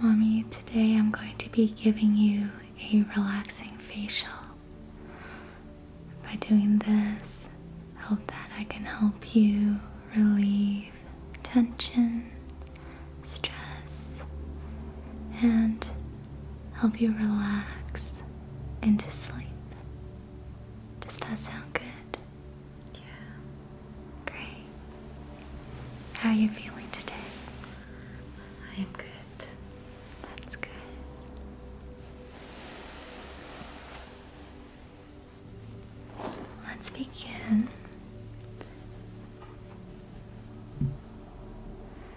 Mommy, today I'm going to be giving you a relaxing facial. By doing this, I hope that I can help you relieve tension, stress, and help you relax into sleep. Does that sound good? Yeah. Great. How are you feeling today? I'm good. That's good. Let's begin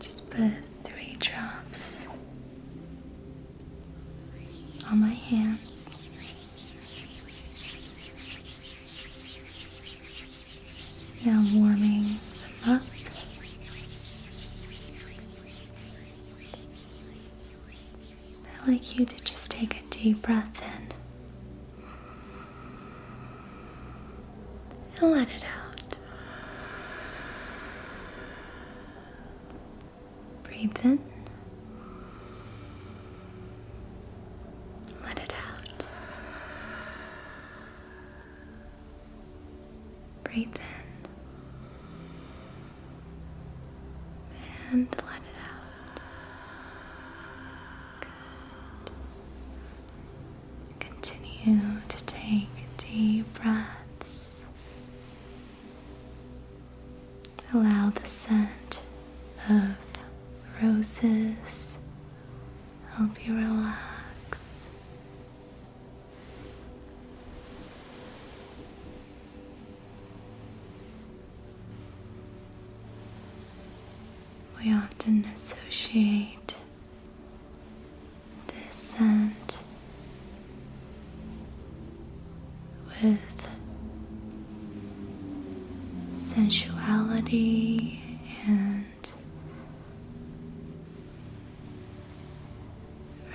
Just put three drops on my hands. Now warming up. I'd like you to just take a deep breath in and let it out. Breathe in. Let it out. Breathe in and let it out. Good. Continue to take deep breaths. Allow the scent of roses help you relax. We often associate this scent with sensuality and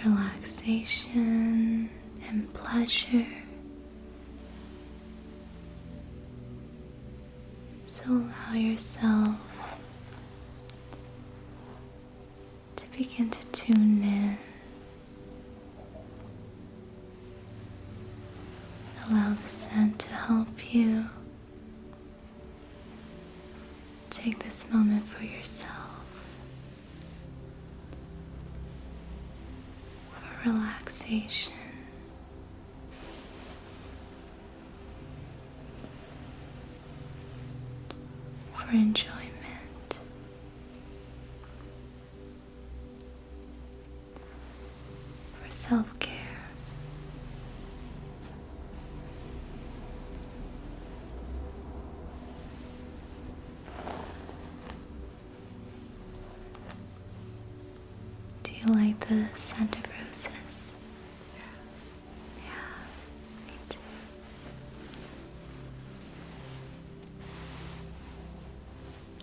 relaxation and pleasure. So allow yourself to begin to tune in. Allow the scent to help you Take this moment for yourself, for relaxation. For enjoyment, for self care. Do you like the scent of roses? Yeah, me too.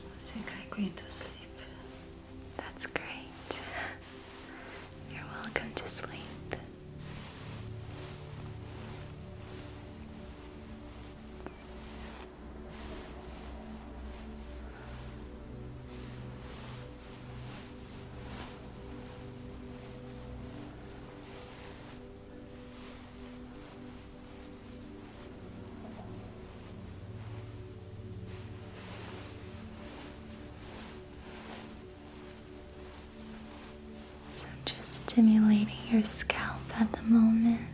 I think I'm going to sleep. That's great. You're welcome to sleep. So I'm just stimulating your scalp at the moment.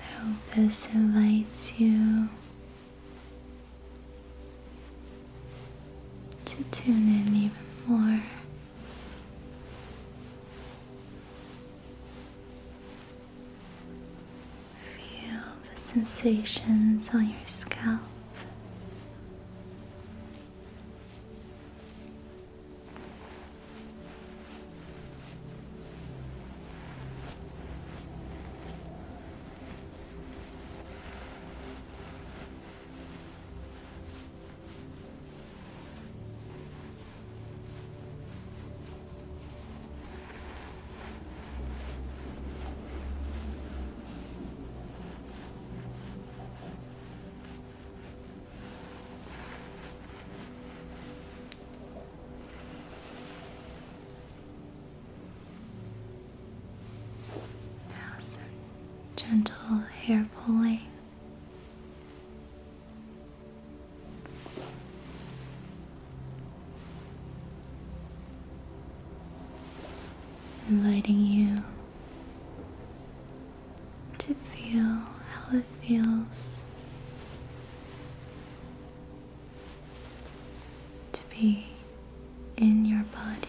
I hope this invites you to tune in even more. Feel the sensations on your scalp. Now, so gentle hair pulling. Inviting you to feel how it feels to be in your body,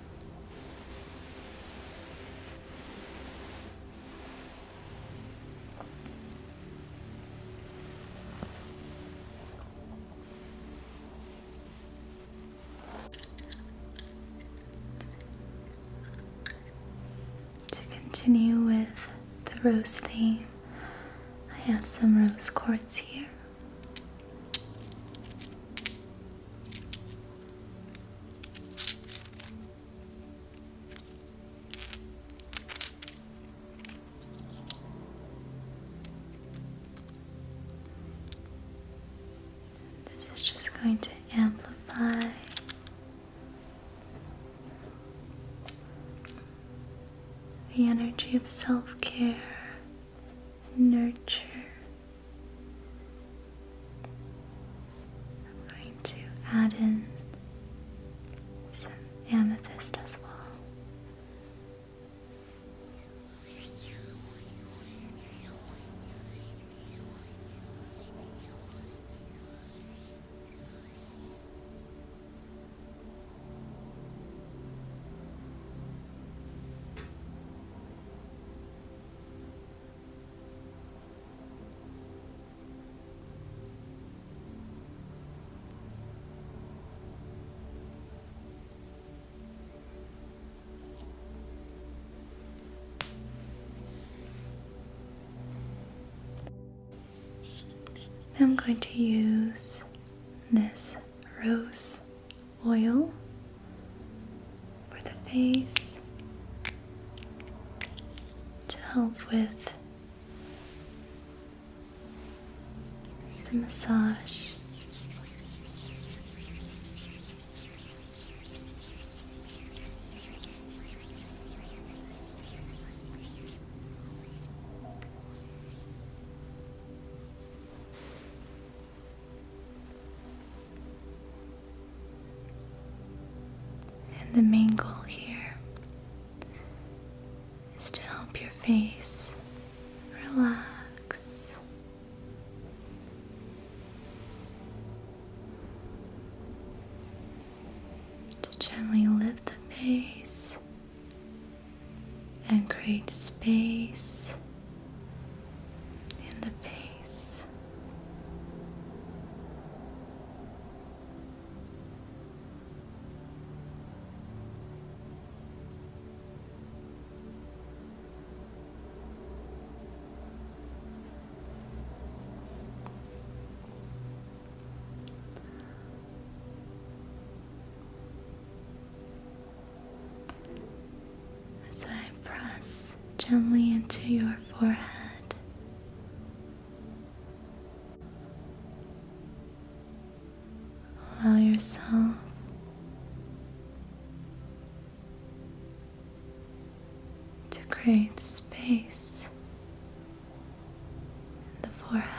To continue with the rose theme, I have some rose quartz here. This is just going to amplify the energy of self care, nurture, I'm going to add in some amethyst as well. I'm going to use this rose oil for the face to help with the massage. And the main goal here is to help your face relax. To gently lift the face and create space in the face as I press gently into your forehead. Allow yourself to create space in the forehead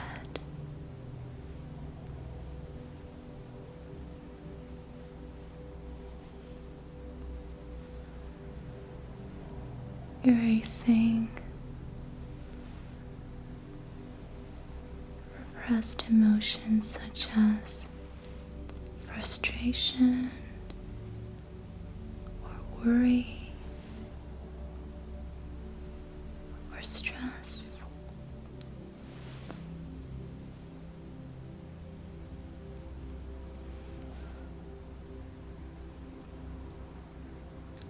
erasing repressed emotions such as frustration or worry or stress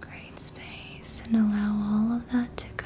Great space and allow all of that to go.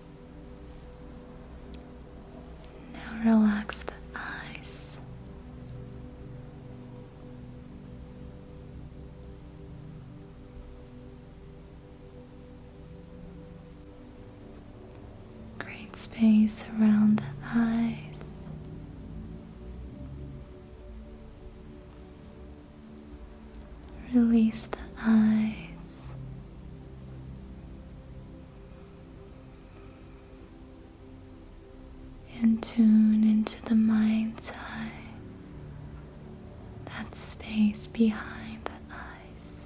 Now relax the eyes. Great space around the eyes. Release the eyes. And tune into the mind's eye, that space behind the eyes.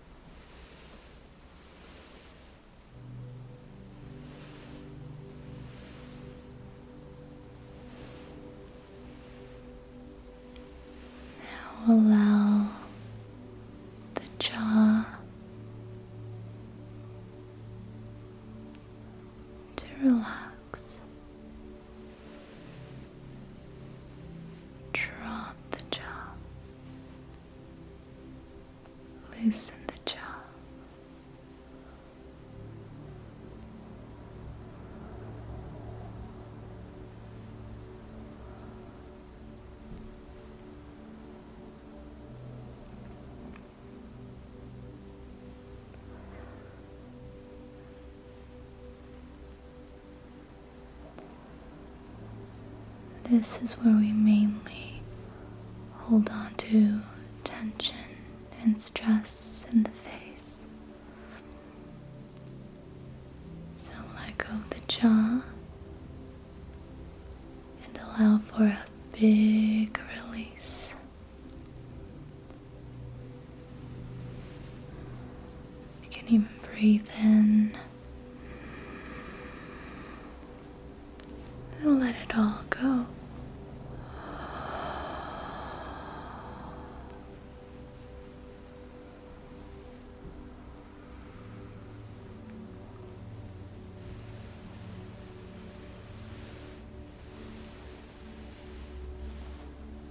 Now allow the jaw to relax. Drop the jaw. Loosen the jaw. This is where we mainly hold on to tension and stress in the face. So let go of the jaw and allow for a big release. You can even breathe in then let it all go.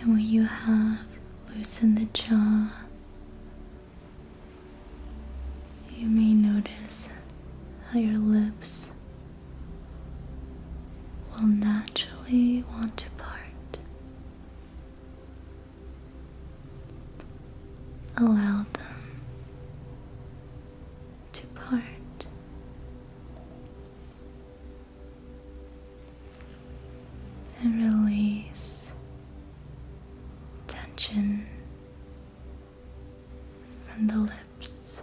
And when you have loosened the jaw, you may notice how your lips will naturally want to part. Allow them to part. And release tension from the lips.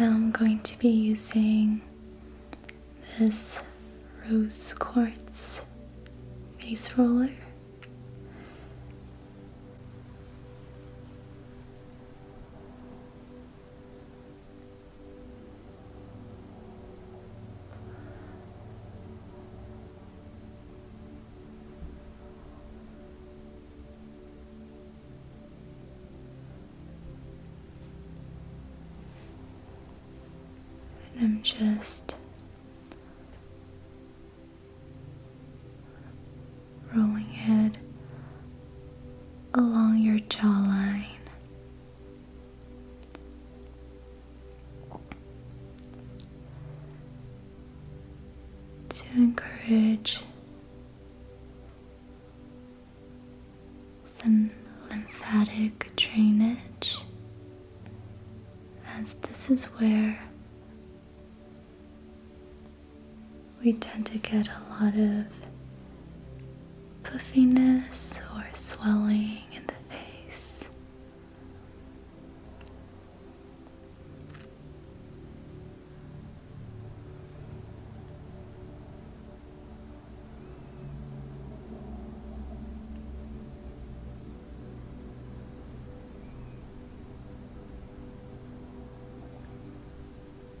Now I'm going to be using this rose quartz face roller. And I'm just rolling head along your jawline. To encourage some lymphatic drainage, as this is where we tend to get a lot of puffiness or swelling in the face.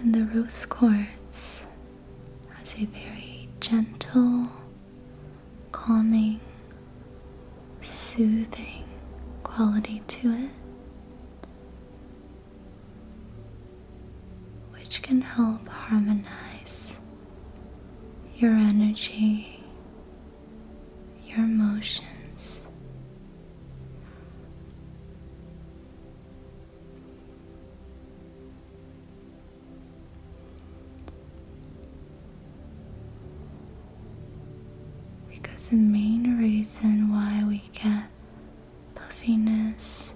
And the rose quartz has a very gentle, calming, soothing quality to it, which can help harmonize your energy your emotions. Because the main reason why we get puffiness,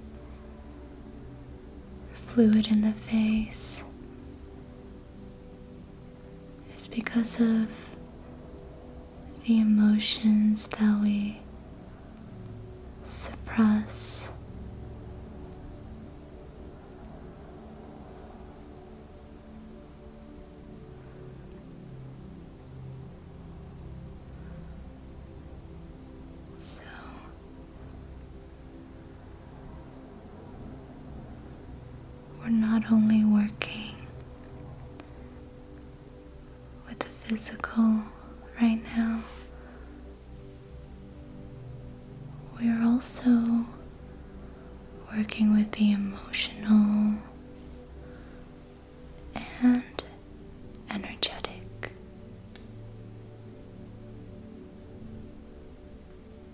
fluid in the face, it's because of the emotions that we suppress. So we're not only working with the physical right now, we're also working with the emotional and energetic.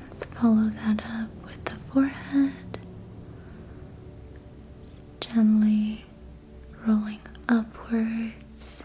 Let's follow that up with the forehead, gently rolling upwards,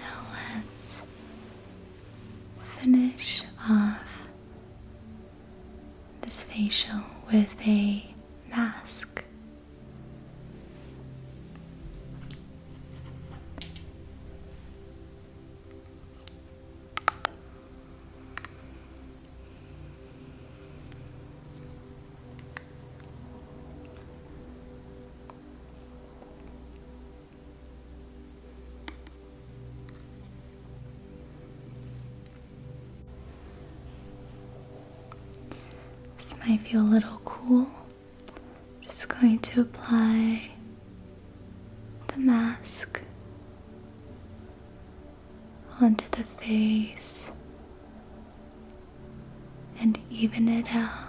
Now let's finish off this facial with a mask. This might feel a little cool. I'm just going to apply the mask onto the face and even it out.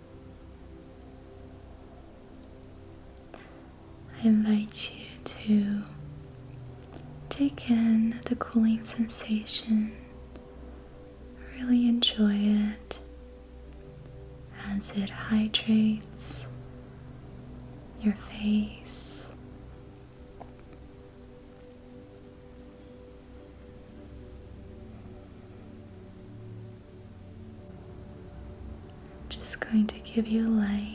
I invite you to take in the cooling sensation, really enjoy it as it hydrates your face. Just going to give you light.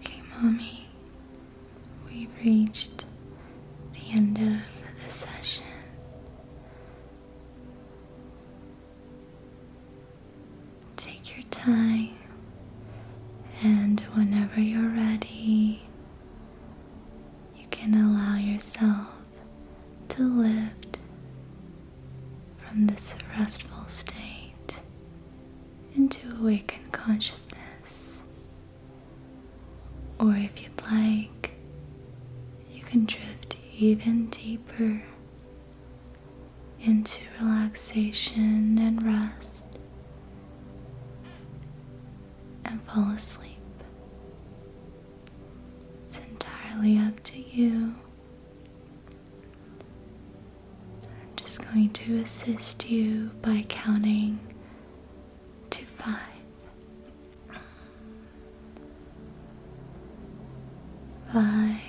Okay, mommy, we've reached the end of the session. Take your time, and whenever you're ready, you can allow yourself to lift from this restful state into awakened consciousness. Or if you'd like, you can drift even deeper into relaxation and rest and fall asleep. It's entirely up to you. I'm just going to assist you by counting to five. Five,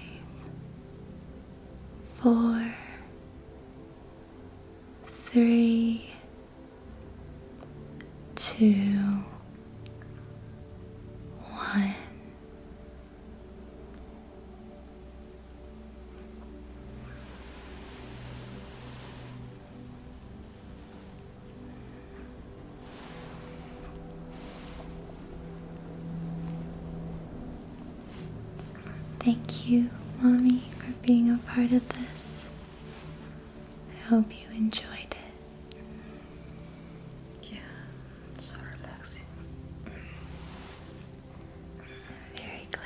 four, three, two, one. Thank you, Mommy, for being a part of this. I hope you enjoyed it. Yeah, so relaxing. I'm very glad.